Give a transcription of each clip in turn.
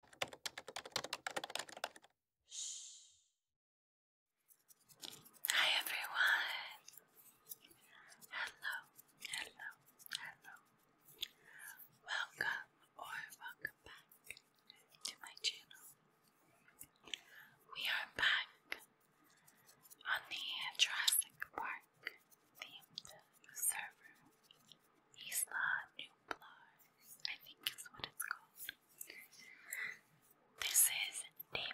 Hi everyone. Hello, hello, hello. Welcome or welcome back to my channel. We are back on the Jurassic Park themed server. Isla Nublar. I think is what it's called. This is day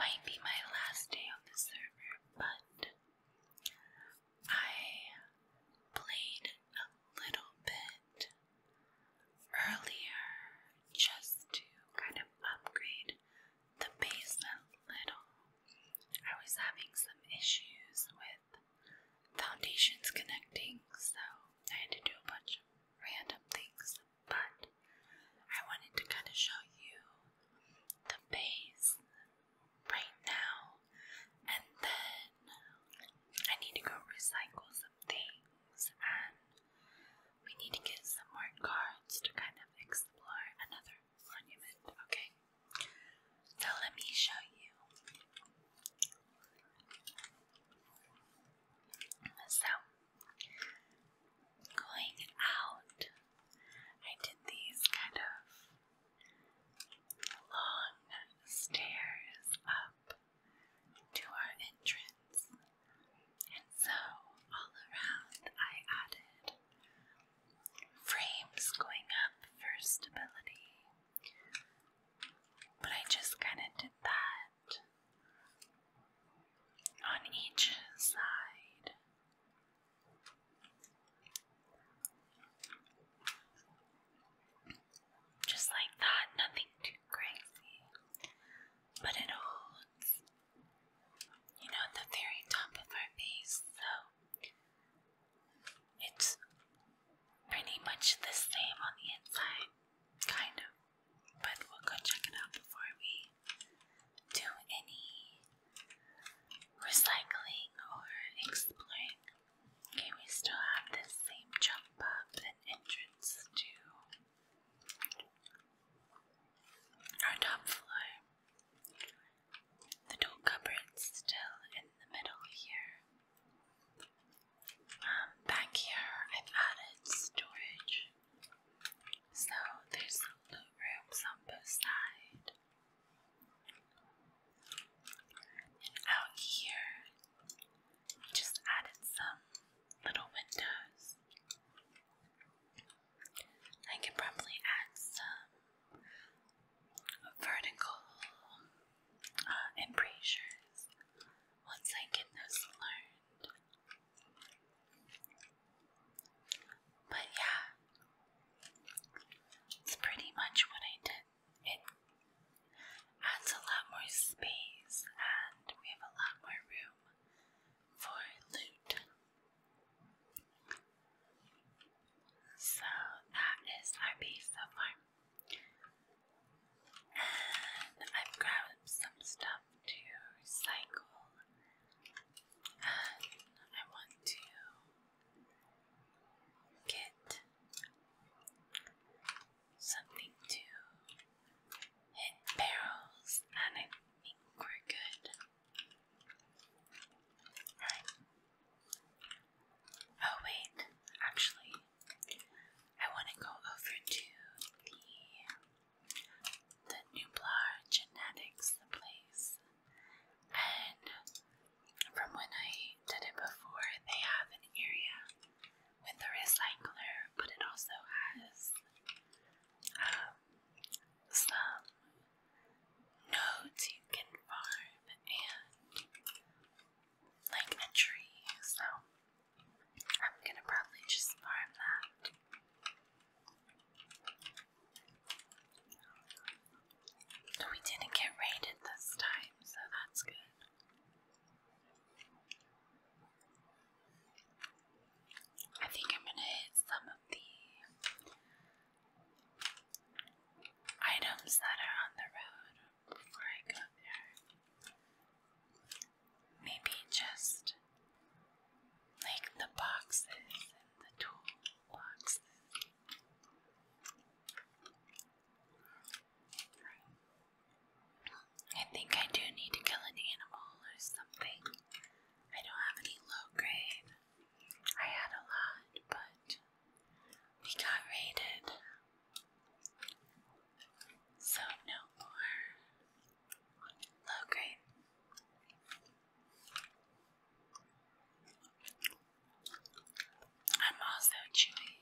Might be my last day on the server, but I played a little bit earlier just to kind of upgrade the base a little. I was having some issues with foundations connecting, so I had to do a bunch of random things, but I wanted to kind of show you the base right now, and then I need to go recycle some things, and we need to get some more cards to kind of explore another monument, okay? So let me show you. So, going out, I did these kind of long stairs up to our entrance, and so all around I added frames going up for stability. But I just kind of did that on each side. Just like that, nothing too crazy. But it holds, you know, at the very top of our face, so it's pretty much the same on the inside, kind of, but we'll go check it out before we do any recycling or exploring. Okay, we still have this same jump up and entrance to our top floor. The door cupboard's still in the middle here back here I've added storage. So there's loot rooms on both sides. And out here, just added some little windows. I could probably add some vertical embrasures once I get those learned. But yeah, it's pretty much what I did. It adds a lot more space and we have a lot more room for loot. So that is our base so far. And I've grabbed some stuff to recycle. And I want to get something to hit barrels, and I think we're good. Alright. Oh, wait, actually, I want to go over to the, the Nublar Genetics, the place. And from when I did it before, they have an area with a recycler, but it also has um, some nodes you can farm and like a tree, so I'm gonna probably just farm that. We didn't get raided this time, so that's good. I think I'm gonna hit some of the items that are on the road before I go there. Maybe just like the boxes and the tool boxes. I think I do need to kill an animal or something. I don't have any low grade. I had a lot, but we got raided. So no more low grade. I'm also chewing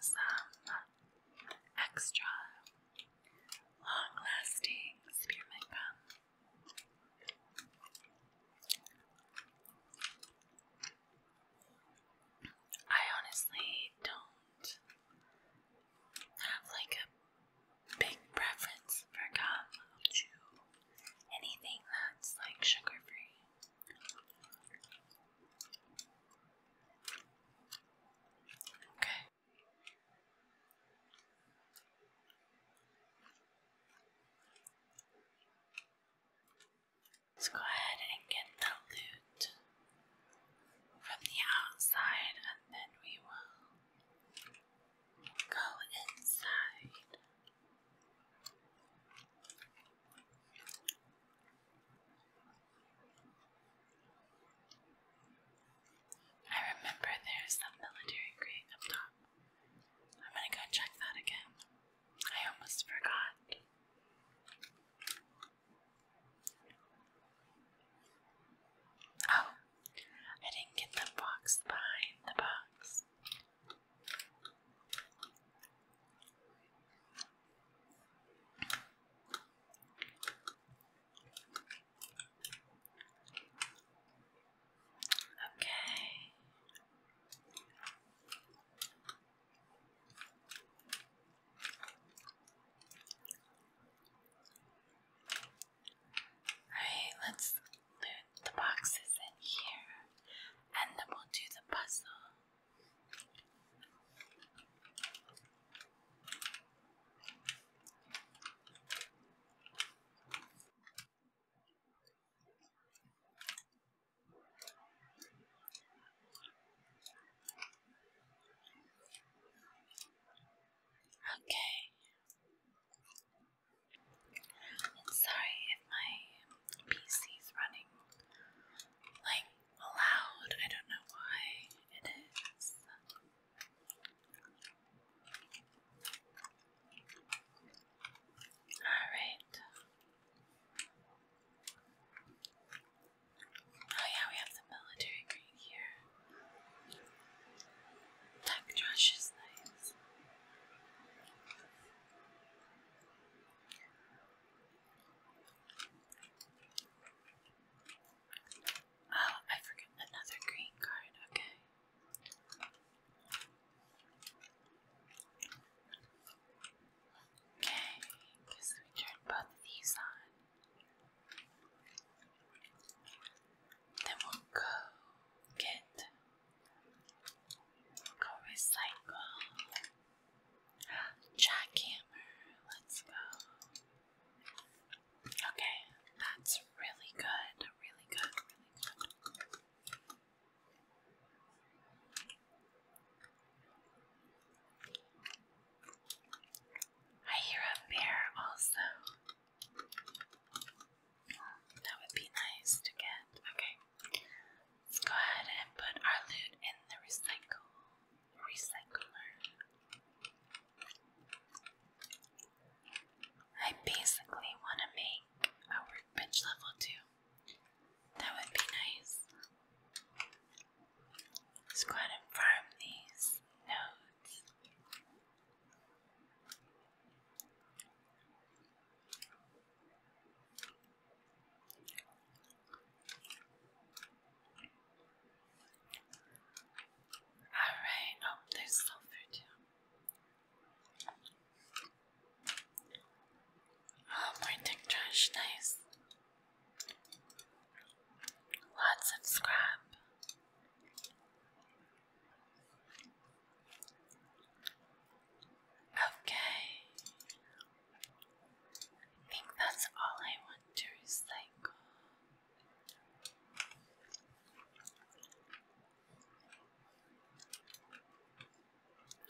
some extra long lasting spearmint gum. I honestly don't have like a big preference for gum. i anything that's like sugar free. Okay. Let's go ahead and get the loot from the outside and then we will go inside. I remember there's some military crate up top. I'm gonna go check that again. I almost forgot. Oh, I didn't get the box behind the box. Okay. Alright, let's loot the boxes in here and then we'll do the puzzle. Okay. i sorry if my PC's running like loud. I don't know why it is. All right. Oh yeah, we have the military green here. Tech trash is nice. Oh, I forgot another green card, okay. Okay, because we turn both these on. Then we'll go get go recycle jackhammer. Let's go. Okay, that's really good, really good, really good. I hear a bear also. That would be nice to get. Okay. Let's go ahead and put our loot in the recycle recycler. I basically want to make a workbench level 2 that would be nice. Let's go ahead and farm these nodes. Alright, oh, there's sulfur too. Oh, trash, nice. Lots of scrap. Okay. I think that's all I want to recycle.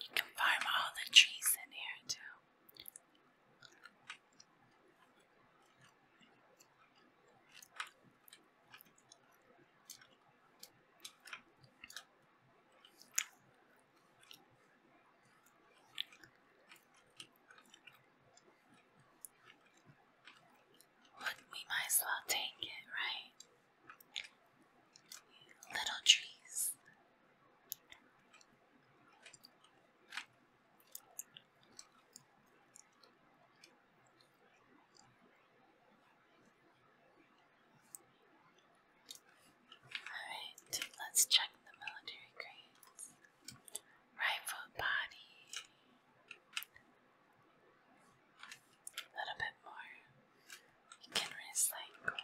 You can farm all the trees in here too. we might as well take it, right? little trees. Alright, let's check the military crates. Right body. A little bit more you can recycle.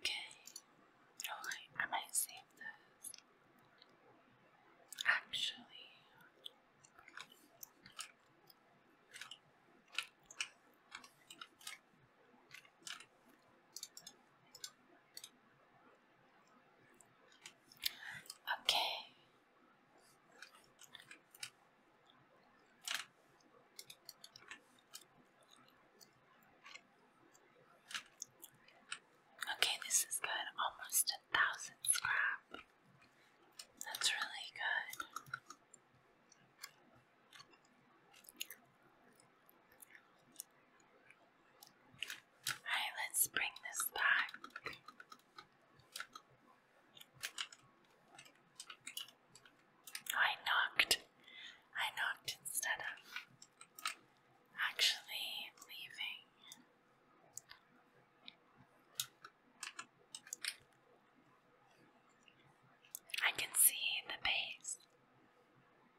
Okay, alright, oh, I might save this. Actually, Okay. Okay, this is good. Almost a thousand scrap. That's really good. Alright, let's bring this back. I knocked. I knocked instead of actually leaving. I can see the base.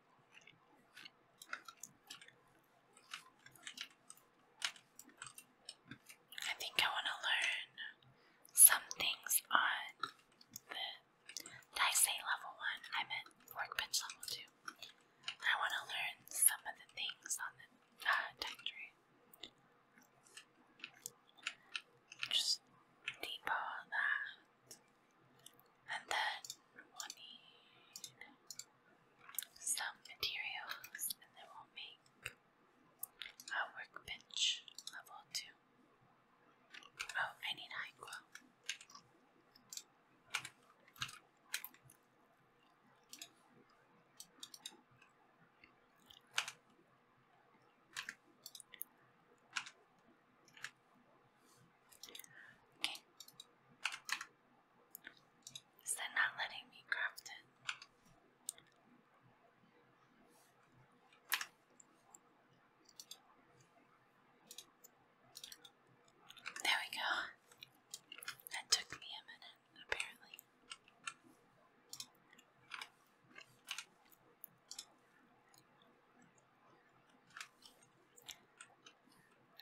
I think I want to learn some things on the Daisei level 1. I'm at Workbench level 2. I want to learn some of the things on the uh, Just deep all and then we need some materials, and then we'll make a workbench level 2. Oh, I need high quill. Okay. Is that not letting me craft it? There we go. That took me a minute, apparently.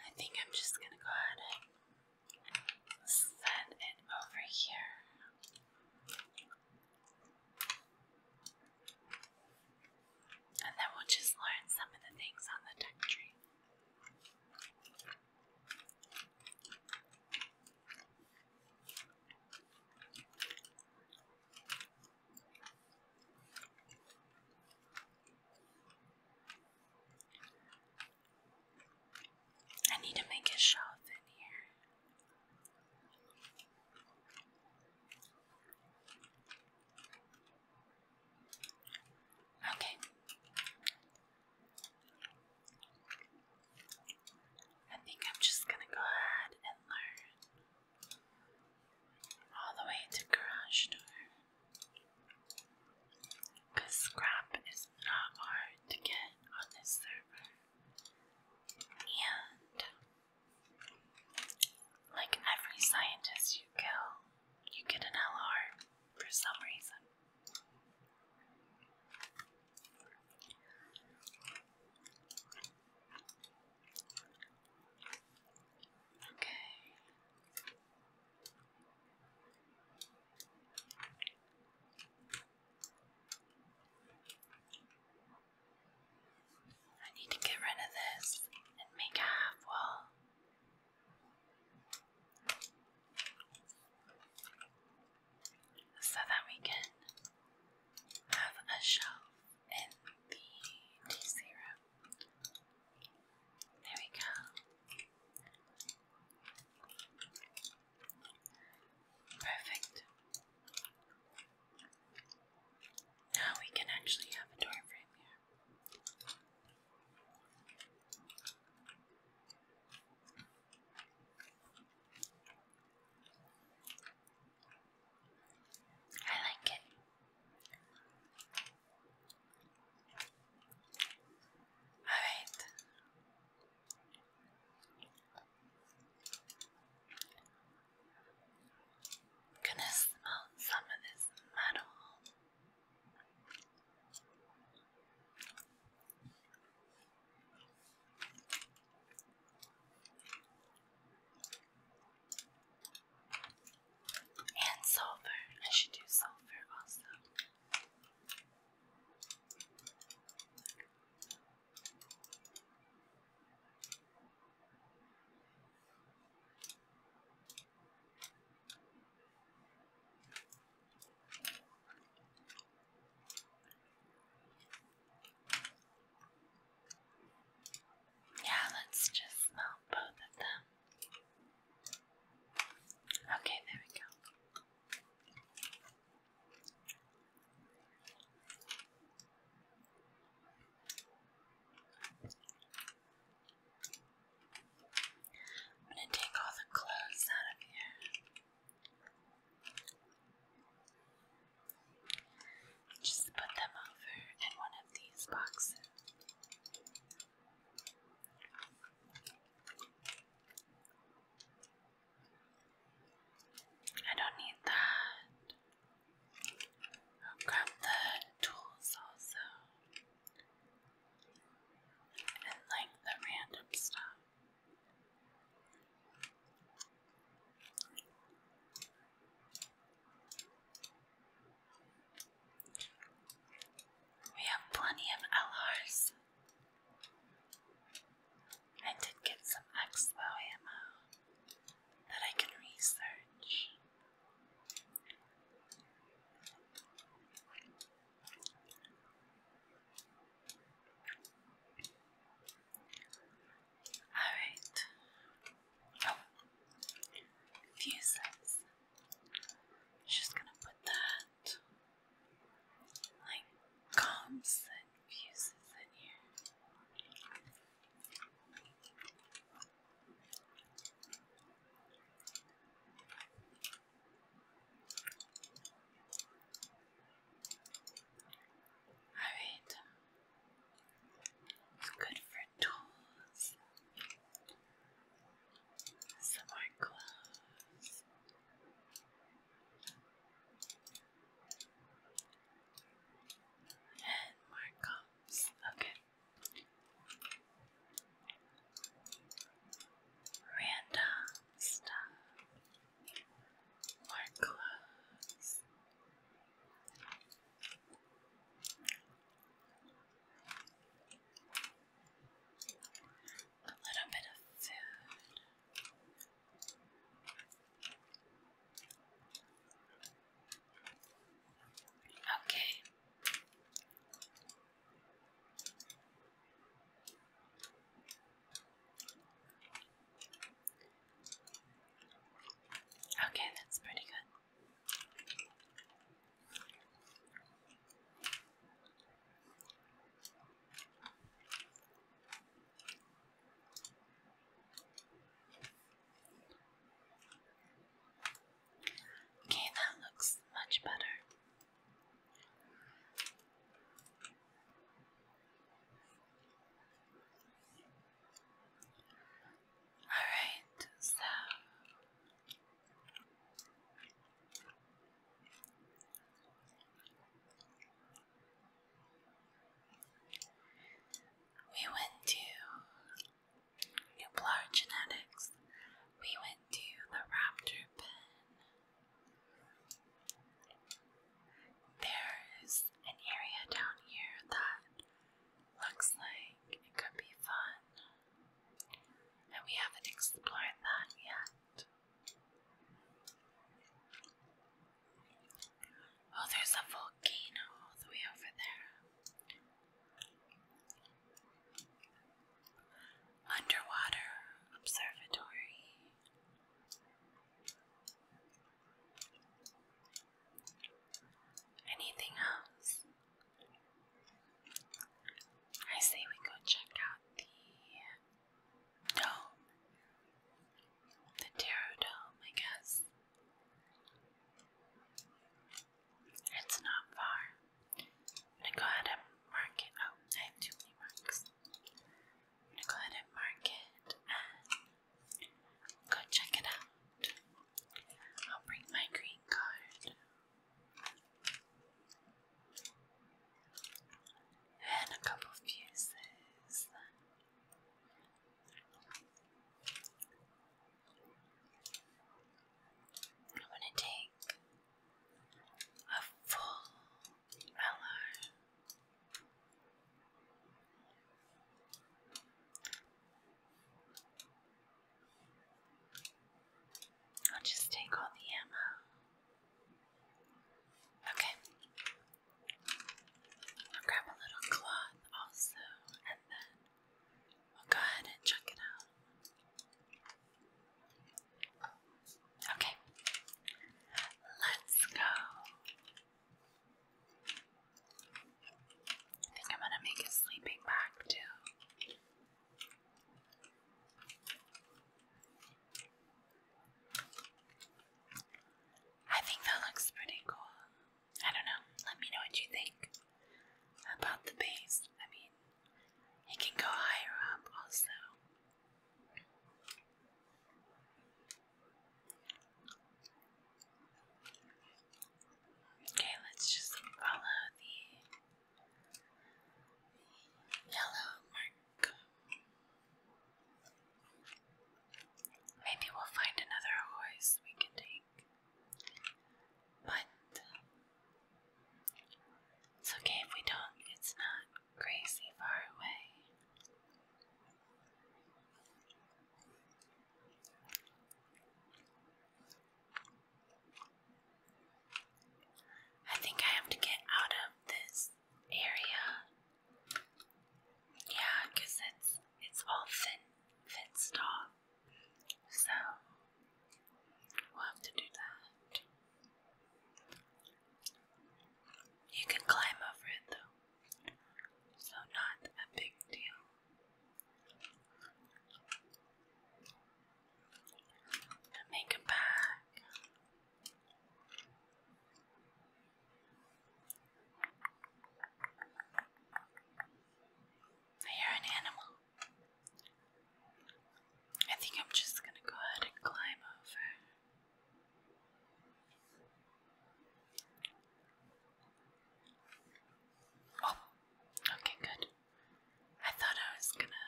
I think I'm just going to go ahead and send it over here. And then we'll just learn some of the things on the duck I need to make a shelf in here. Okay. I think I'm just gonna go ahead and learn all the way to garage door. Because scrap is not hard to get on this server. And like every scientist you kill, you get an LR for some reason. Okay. I need to get rid of this and make a half wall. So that we can have a shelf and the There we go. Perfect. Now we can actually have a door here. I like it. Alright. i gonna smell some of this metal. And sulfur. I should do sulfur also. Yeah, let's just melt both of them. Okay, there we go. I'm going to take all the clothes out of here. Just put them over in one of these boxes. I don't need that. grab the tools also. And like the random stuff. We have plenty of LRs. I did get some expo ammo that I can research. Alright, Oh, fuses. Just gonna put that like comps and fuses in here. All right. It's good for tools. Some more clothes. And more cups. Okay. Random stuff. More clothes. A little bit of food. Okay. Okay, that's pretty good. Okay, that looks much better. Alright, so we went to Nublar Genetics, we went to the Raptor Pen. There's an area down here that Looks like it could be fun. And we haven't explored that yet. Oh, there's a volcano all the way over there. Underwater observatory. Anything else? I say we go check out the dome. The tarot I guess. It's not far. gonna go ahead and mark it. Oh, I have too many marks. gonna go ahead and mark it and go check it out. I'll bring my green card. And a couple of fuses. I'm gonna take a full LR. I'll just take all the ammo. Okay. I'll grab a little cloth also, and then we'll go ahead and chuck it out. Okay. Let's go. I think I'm gonna make a sleeping bag too. I think that looks pretty cool. I don't know. Let me know what you think about the base. I mean, it can go higher up also. Okay, let's just follow the yellow mark. Maybe we'll find another horse we can take. But it's okay if we don't, it's not crazy far away. I think I have to get out of this area. Yeah, it's it's all thin fenced off. So we'll have to do that. You can climb over it though. So not a big deal make a bag. You're an animal. I think I'm just gonna go ahead and climb over. Oh, okay, good. I thought I was gonna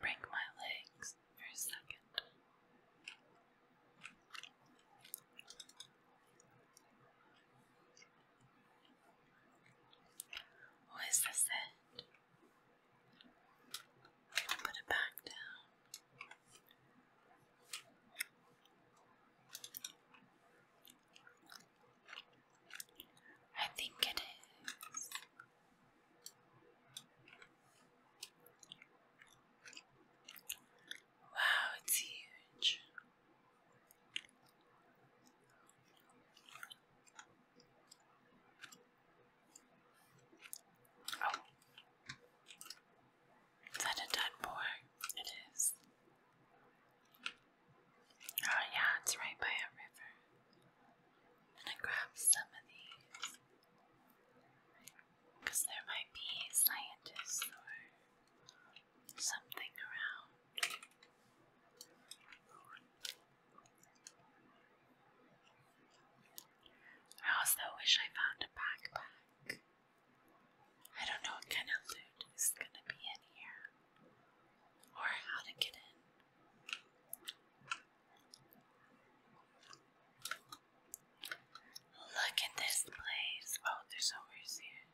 break my legs for a second. What is this end? Put it back down. I think it is. Wow, it's huge. Oh. Is that a dead boar? It is. Oh yeah, it's right by a river. And I'm grab some of these. Because there might be scientists or something around. I also wish I found a backpack. I don't know what kind of loot is gonna be in here or how to get in. Look at this place. Oh, there's always here.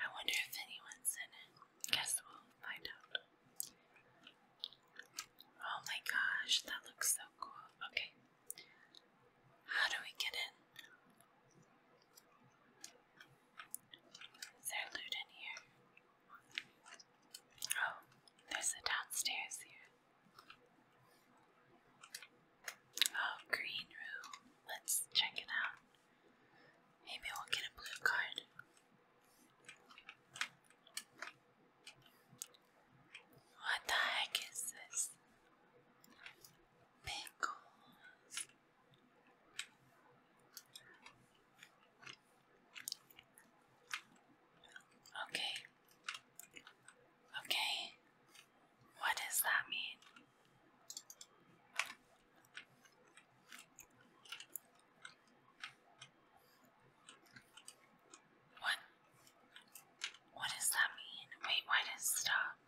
I wonder if anyone's in it. Guess we'll find out. Oh my gosh, that looks so cool. Okay. How do we get in? Is there loot in here? Oh, there's a downstairs here. Oh, green room. Let's check it out. Maybe we'll get a blue card. What the heck is this? Pickles. Okay. Okay. What does that mean? What? What does that mean? Wait, why did it stop?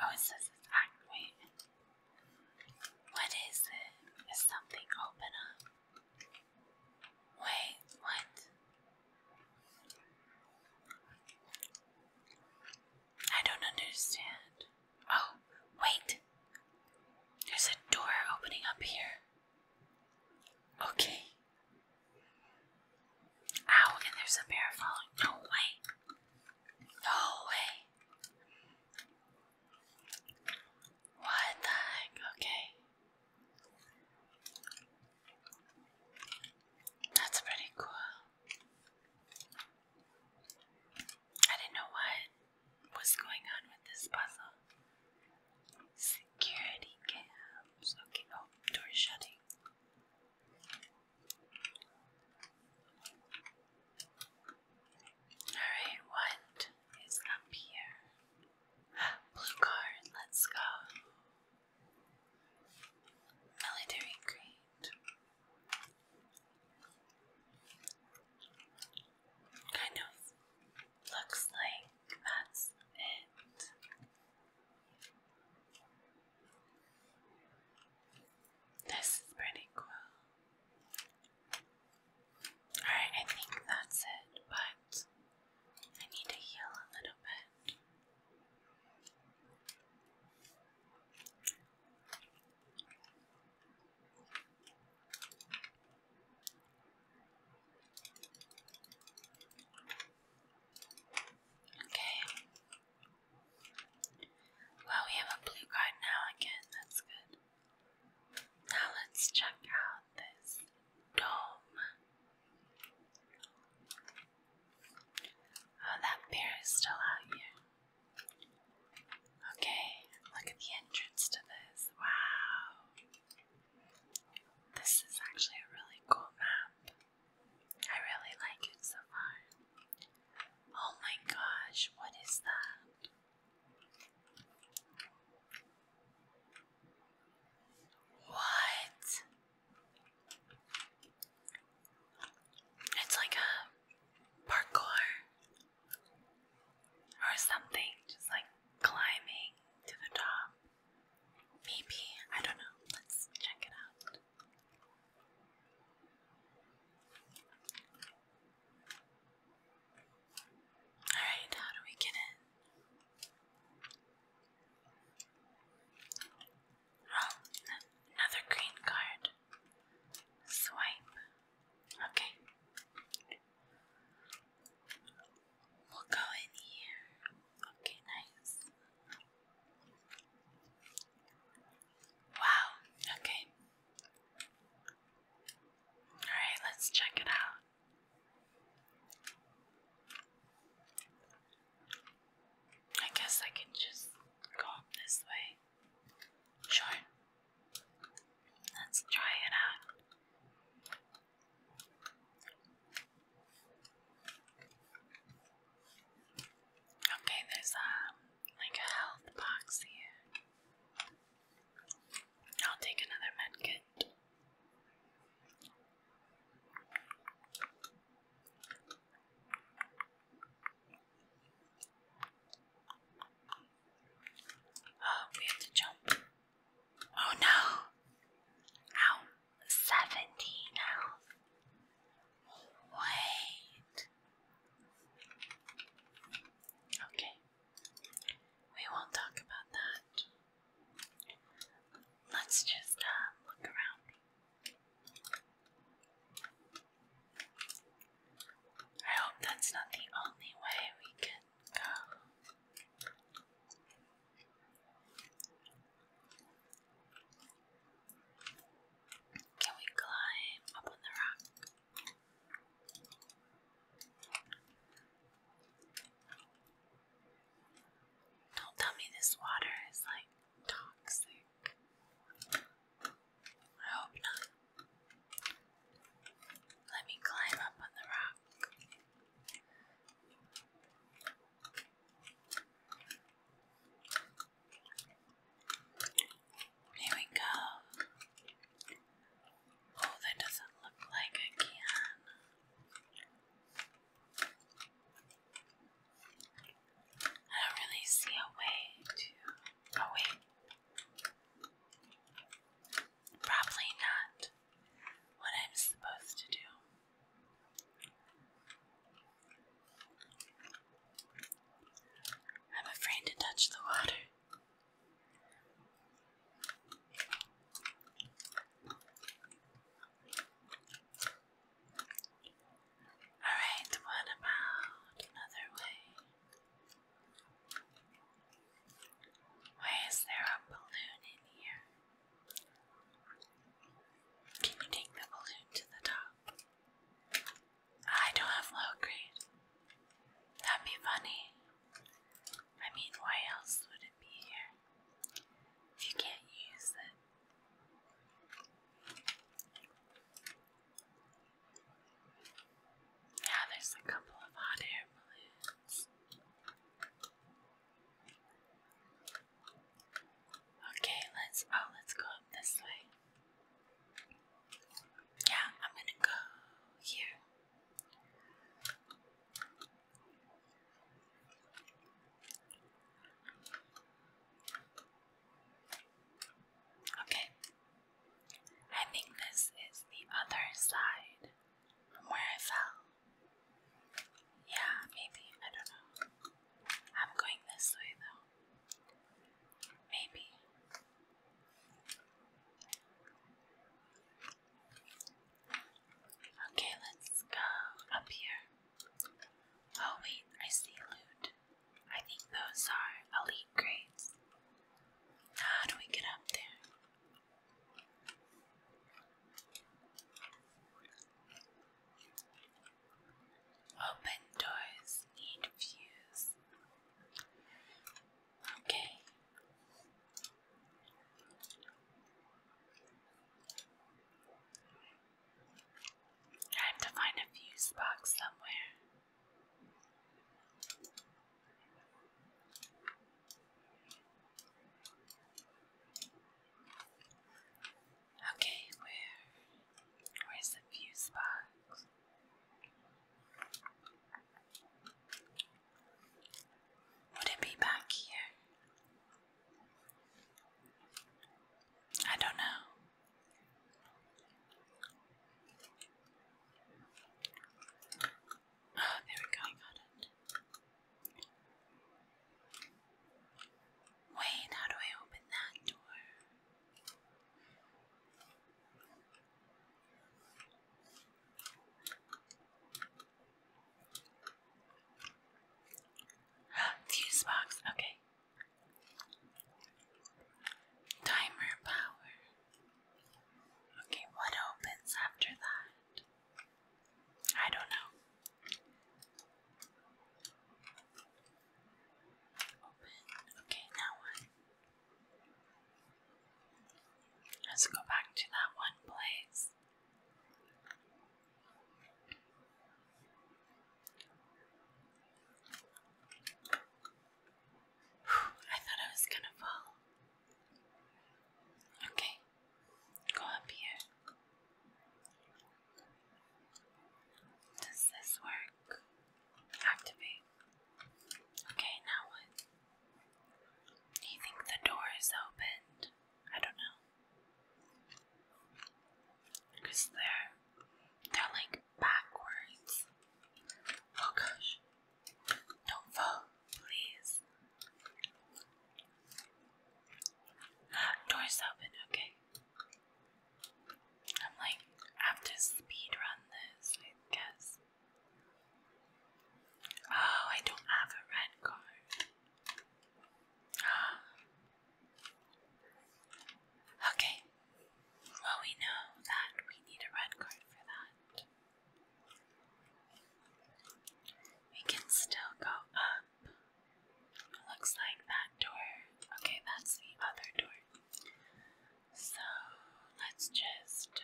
Oh, it says it's act. Wait. What is it? Is something open up? Wait, what? I don't understand. Oh, wait. There's a door opening up here. Okay. Ow, and there's a bear following. No way. No way. What the heck? Okay. That's pretty cool. I didn't know what was going on with this puzzle. Security cams. Okay, oh, door shutting. Alright, what is up here? Blue card, let's go. Military grade. Kind of looks like that's it. This is pretty cool. Alright, I think that's it, but I need to heal a little bit. Okay. Well, we have a blue card now again, that's good. Now let's check out this dome. Oh, that bear is still out here. Okay, look at the entrance to this. Wow. This is actually a really cool map. I really like it so far. Oh my gosh, what is that? What? It's like a parkour or something, just like climbing to the top. Maybe, I don't know. Let's check it out. Alright, how do we get in? Oh, another green card. Swipe. Okay. We'll go in here. Okay, nice. Wow, okay. Alright, let's check it out. I guess I can just go up this way. Sure. Let's try it out. Okay, there's um like a health box here. I'll take another med kit. Oh, we have to jump. Oh no! Ow! 17 health. Wait. Okay. We won't talk about that. Let's just uh, look around. I hope that's not the only way we can go. Can we climb up on the rock? Don't tell me this water is like toxic. I hope not. Let me climb up on the rock. There we go. Oh, that doesn't look like a can. I don't really see a way to. Oh, wait. Probably not what I'm supposed to do. I'm afraid to touch the water. Alright, what about another way? Why is there a balloon in here? Can you take the balloon to the top? I don't have low grade. That'd be funny. I mean, why else would it be here if you can't use it? Yeah, there's a couple of hot air balloons. Okay, let's oh let's go up this way. Yeah, I'm gonna go here. Okay. I think this is the other side where I fell. Yeah, maybe. I don't know. I'm going this way though. Maybe. Okay, let's go up here. Oh, wait, I see loot. I think those are elite grades. How do we get up there? Open doors need views. Okay. I to find a fuse box somewhere. Okay, where where's the fuse box? Would it be back here? I don't know. Oh, there we go, I got it. Wait, how do I open that door? Fuse box, okay. Timer power. Okay, what opens after that? I don't know. Okay, now one. Let's go back to that one place. I thought I was gonna fall. Okay, go up here. Does this work? Activate. Okay, now what? you think the door is opened? I don't know. Because they're they're like backwards. Oh gosh. Don't fall, please. Ah, door's open, okay. I'm like, I have to speed run this, I guess. Oh, I don't have a red card. okay. Well, we know that we need a red card for that. We can still go up. Looks like that door. Okay, that's the other door. So let's just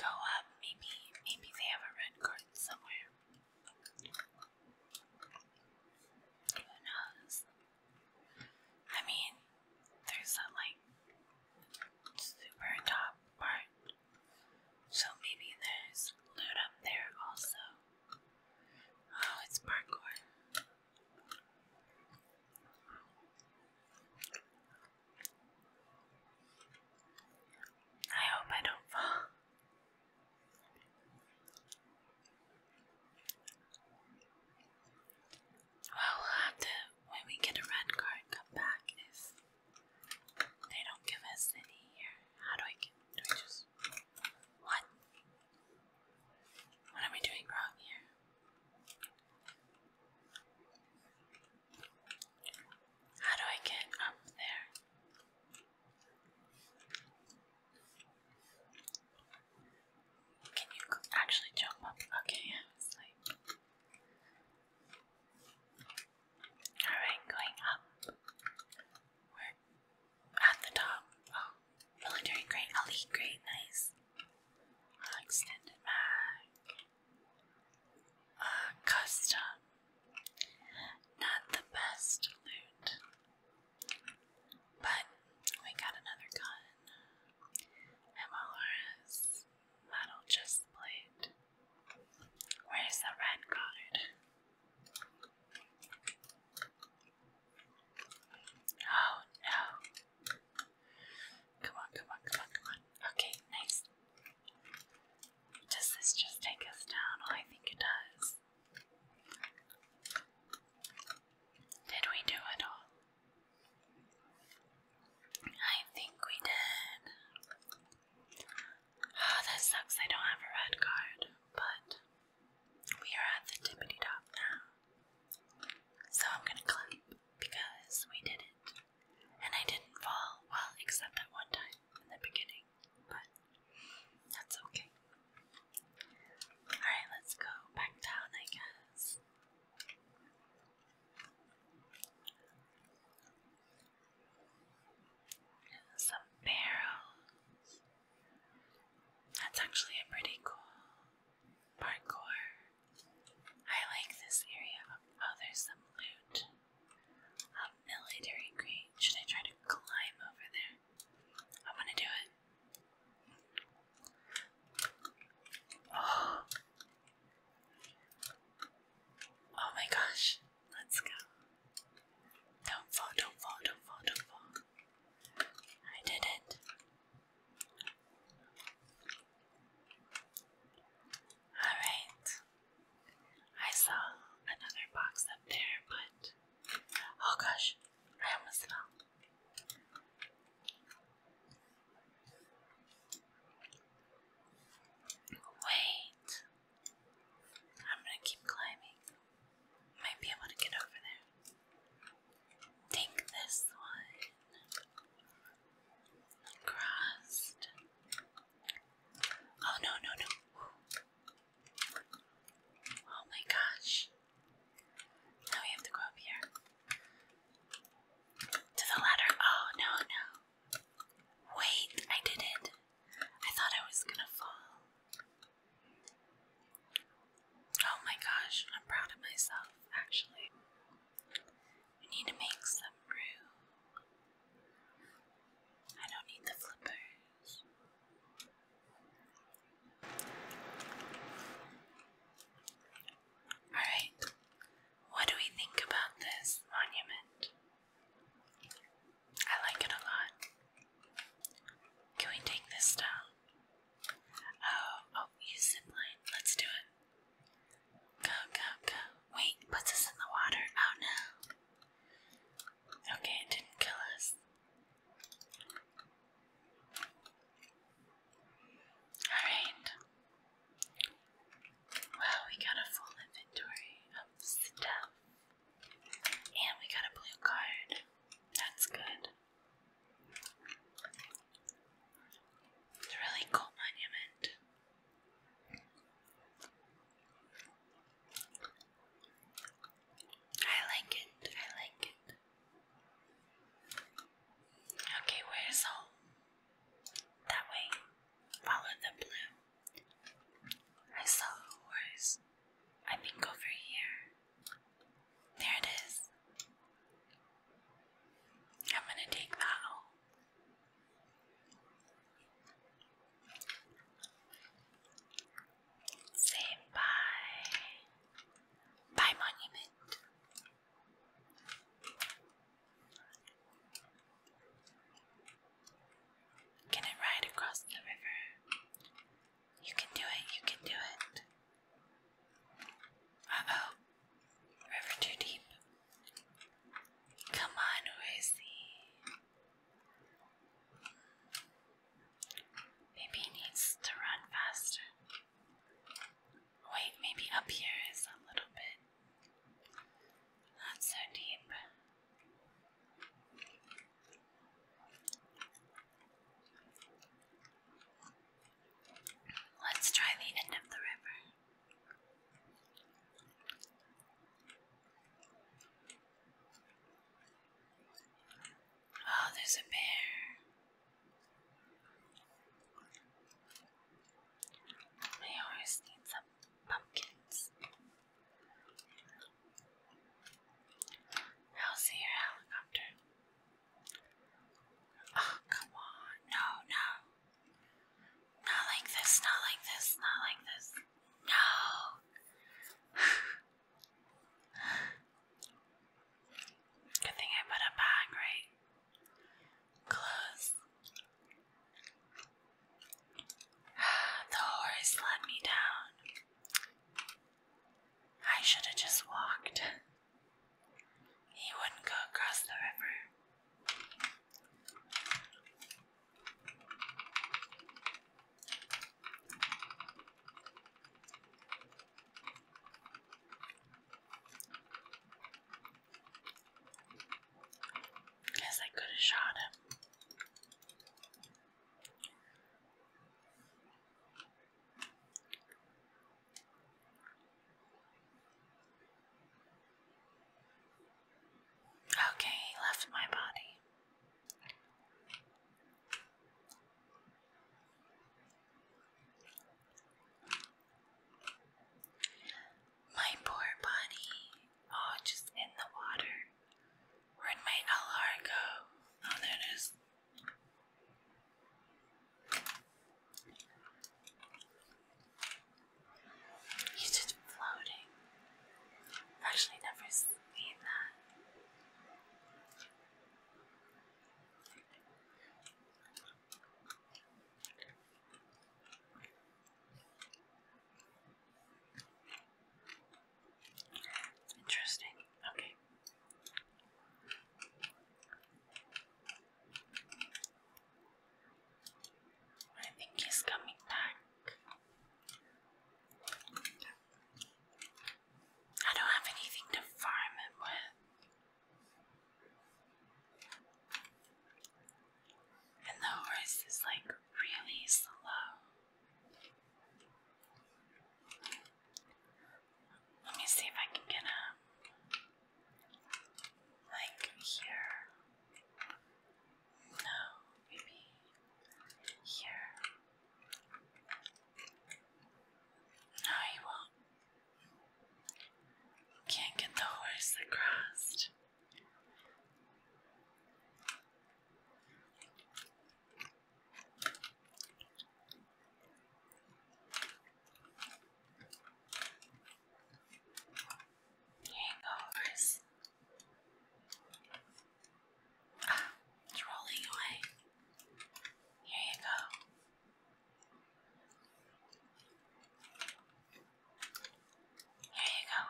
go up. Maybe, maybe they have a red curtain somewhere. Who knows? I mean, there's that like super top part. So maybe there's loot up there also. Oh, it's parkour. I hope I don't fall. Well, we'll have to, when we get a red card, come back if they don't give us any How do I get, what? What am I doing wrong here? How do I get up there? Can you actually jump up? Okay, I was like. Alright, going up at the top. Oh, military doing great. Elite, great, nice. extended mag. Uh, custom. Not the best loot. But we got another gun. MLRS. Metal just plate. Where's the red card? Oh no. Come on, come on, come on, come on. Okay, nice. Does this just take us down? Oh, I think it does. Did we do it all? I think we did. Oh, that sucks. I don't have a red card, but we are at the tippity top now. So I'm gonna clap because we did it. And I didn't fall, well, except at one time in the beginning, but that's okay. Alright, let's go back down, I Some barrels. That's actually a pretty cool parkour. I like this area. Oh, there's some loot. A military crate. Should I try to climb over there? I'm to do it. Oh. Oh my gosh. Let's go. Don't fall, don't fall, don't fall, don't fall. I did it. Alright. I saw another box up there, but. Oh gosh, I almost fell. Wait. I'm gonna keep climbing. Might be able to get over there. Take this one. Crossed. Oh no, no, no. Oh my gosh. Now we have to go up here. To the ladder. Oh no, no. Wait, I did it. I thought I was gonna fall. Oh my gosh, I'm proud of myself actually. I need to make some room. I don't need the flippers. Alright, what do we think about this monument? I like it a lot. Can we take this down? Oh, oh, use zip line. Let's do it. Go, go, go. Wait, puts us in the water. Oh no. Okay, it didn't kill us. Alright. Well, we got a full inventory of stuff. And we got a blue card. That's good. It's a really cool monument. I like it. I like it. Okay, where's home? That way. Follow the blue. I saw a horse. I think over here. There it is. I'm going to take that Say bye. Bye, monument. Can I ride across the river? You can do it, you can do it. Uh oh. River too deep. Come on, Rosie. Maybe he needs to run faster. Wait, maybe up here is a little bit. Not so deep. Let's try the end of the river. Oh, there's a bear. My horse needs some pumpkins. I'll see your helicopter. Oh, come on. No, no. Not like this, not like this, not like this. No. Good thing I put a bag, right? Close. the horse let me down. I should have just walked. He wouldn't go across the river. Guess I could have shot him. Okay, left my body. My poor body, all oh, just in the water. Where'd my LR go? Oh, there it is. He's just floating. actually never seen that. Interesting. Okay. I think he's coming back. I don't have anything to farm him with. And the horse is like really slow. Let me see if I can get a like here. No, maybe here. No, you won't. Can't get the horse across. Hangovers. Ah, it's rolling away. Here you go. Here you go.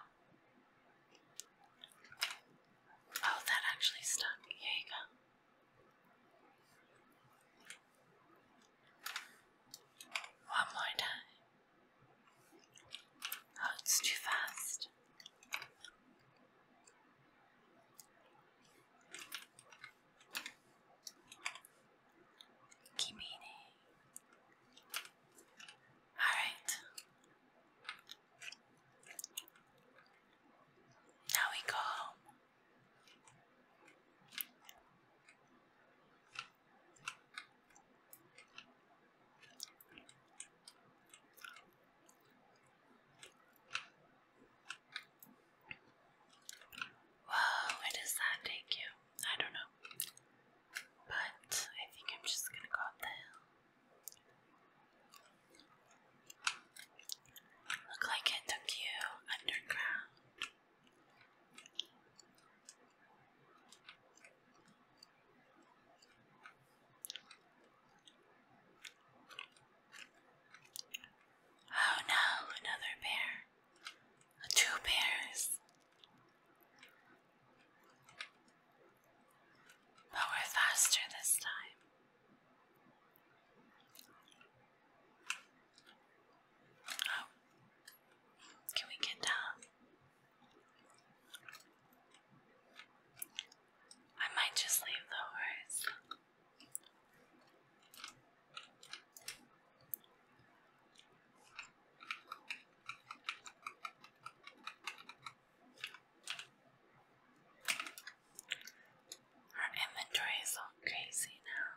Oh, that actually stuck. Here you go. One more time. Oh, it's too fast. Kimini. Alright. Now we go home. where does that take you? I don't know. But I think I'm just gonna go up the hill. Look like it took you underground. Oh no, another bear. Two bears. But we're faster this time. Oh, can we get down? I might just leave the horse. Her inventory is all crazy now.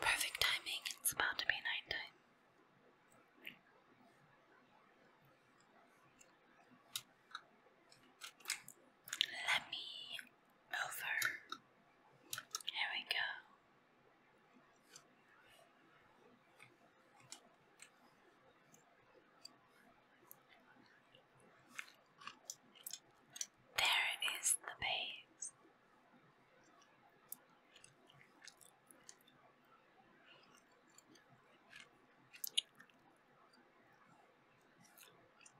Perfect timing, it's about to be nighttime. Let me over. Here we go. There is the base.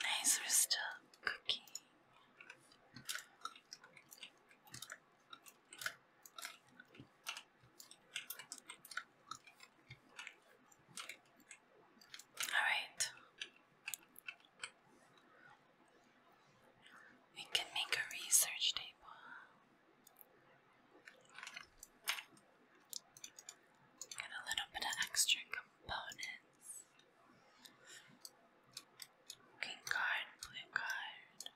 Nice, are still cooking. All right. We can make a research table. Got a little bit of extra components. Green card, blue card.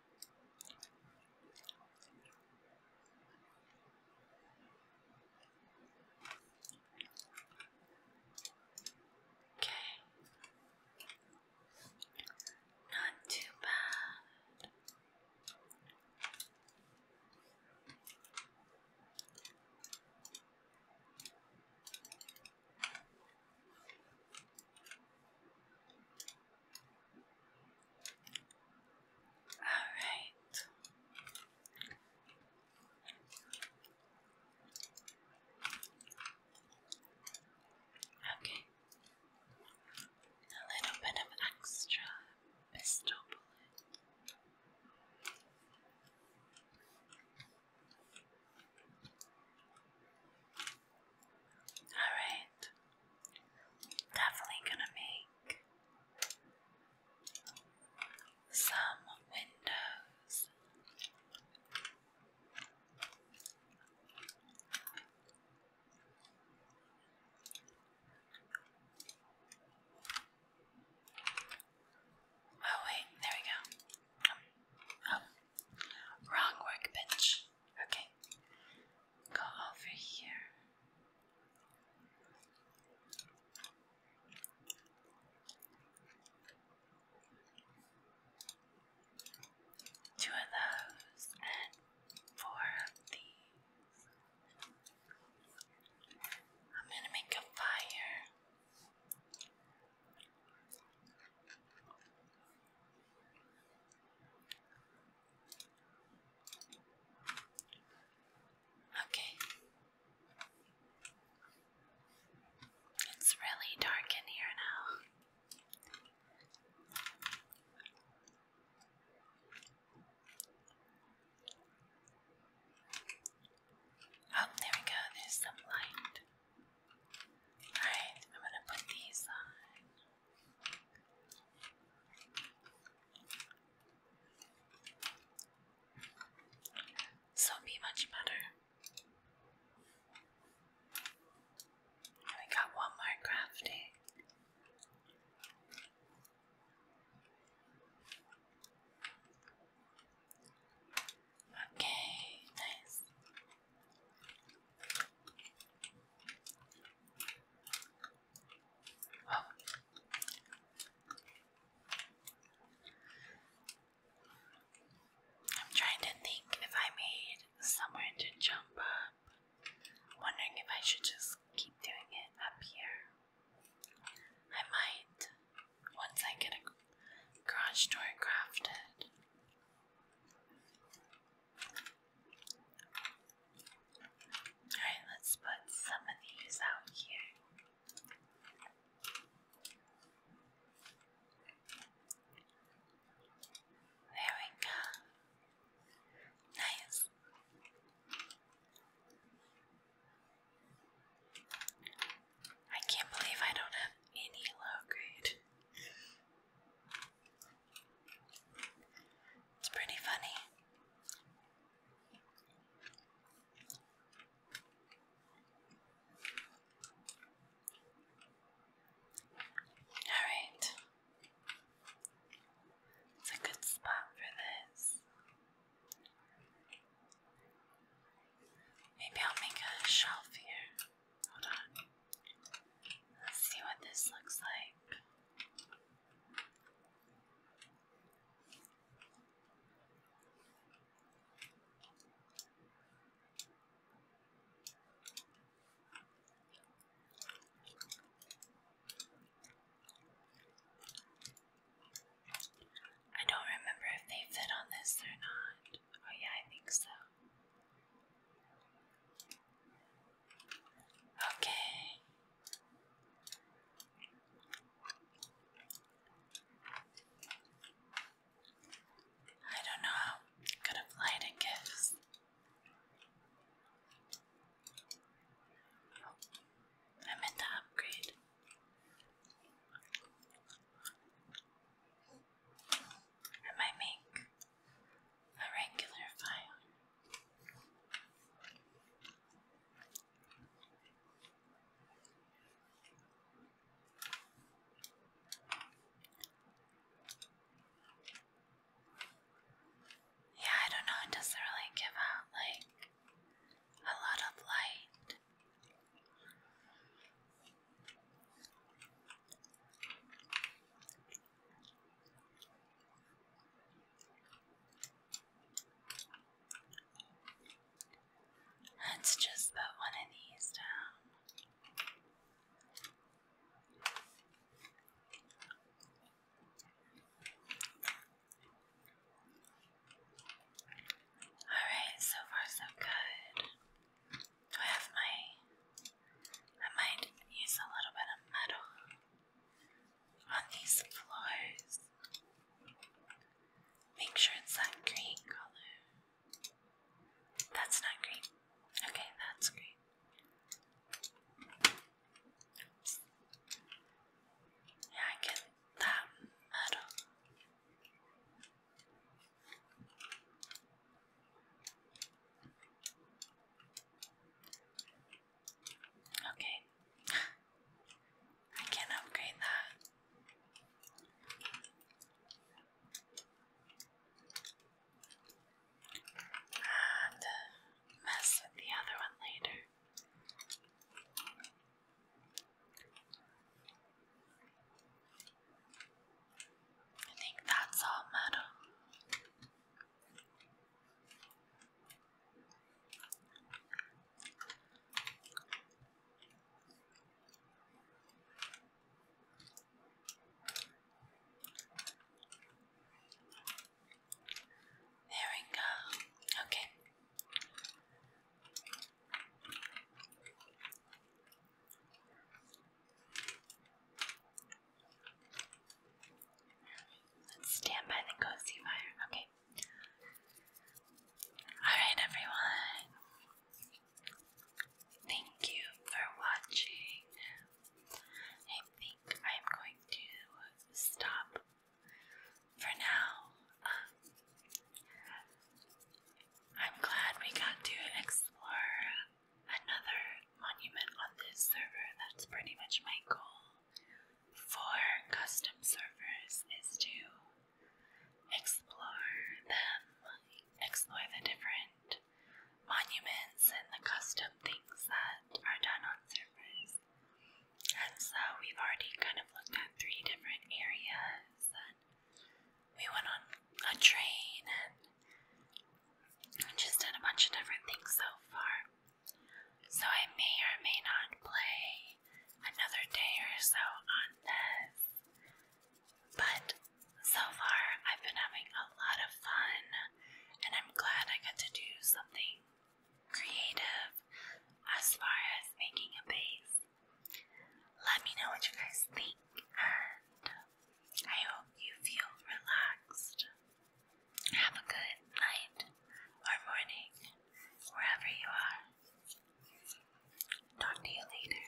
Okay. Not too bad. All right. Okay. A little bit of extra Alright, definitely gonna make some windows. Oh, wait, there we go. Oh, oh. wrong workbench. Okay, go over here. Two of those and four of these. I'm going to make a fire. Okay. It's really dark in here now. Oh, there we go, there's some light. Alright, I'm gonna put these on. So be much better. we got one more crafting. Okay, nice. Oh. I'm trying to think if I made somewhere to jump up. Wondering if I should just keep doing it up here. I might once I get a garage door crafted. Alright, let's put some of these out here. There we go. Nice. I can't believe I don't have any low grade. It's pretty funny. All right. It's a good spot for this. Maybe I'll make a shelf here. Hold on. Let's see what this looks like. I don't remember if they fit on this or not. Oh, yeah, I think so. Okay. I don't know how good a flight it gives. I'm in the upgrade. I might make a regular file. Yeah, I don't know, it doesn't really give out like a lot of light. Let's just put one of these down. Um, Alright, so far so good. Do I have my. I might use a little bit of metal on these floors. Make sure it's that green color. That's not green. Okay, that's green. Yeah, I get that metal. Okay. I can upgrade that and uh, mess with the other one later. I think that's all metal. There we go. Okay. Let's stand by the cozy fire. Okay. Alright, everyone. Thank you for watching. I think I'm going to stop for now. Um, I'm glad we got to explore another monument on this server. That's pretty much my goal for custom servers is to explore them, explore the different monuments and the custom things that are done on servers. And so we've already kind of looked at three different areas we went on a train and just did a bunch of different things so far. So I may or may not play another day or so on this. But so far I've been having a lot of fun and I'm glad I got to do something creative as far as making a base. Let me know what you guys think, and I hope you feel relaxed. Have a good night or morning, wherever you are. Talk to you later.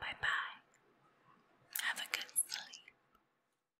Bye bye. Have a good sleep.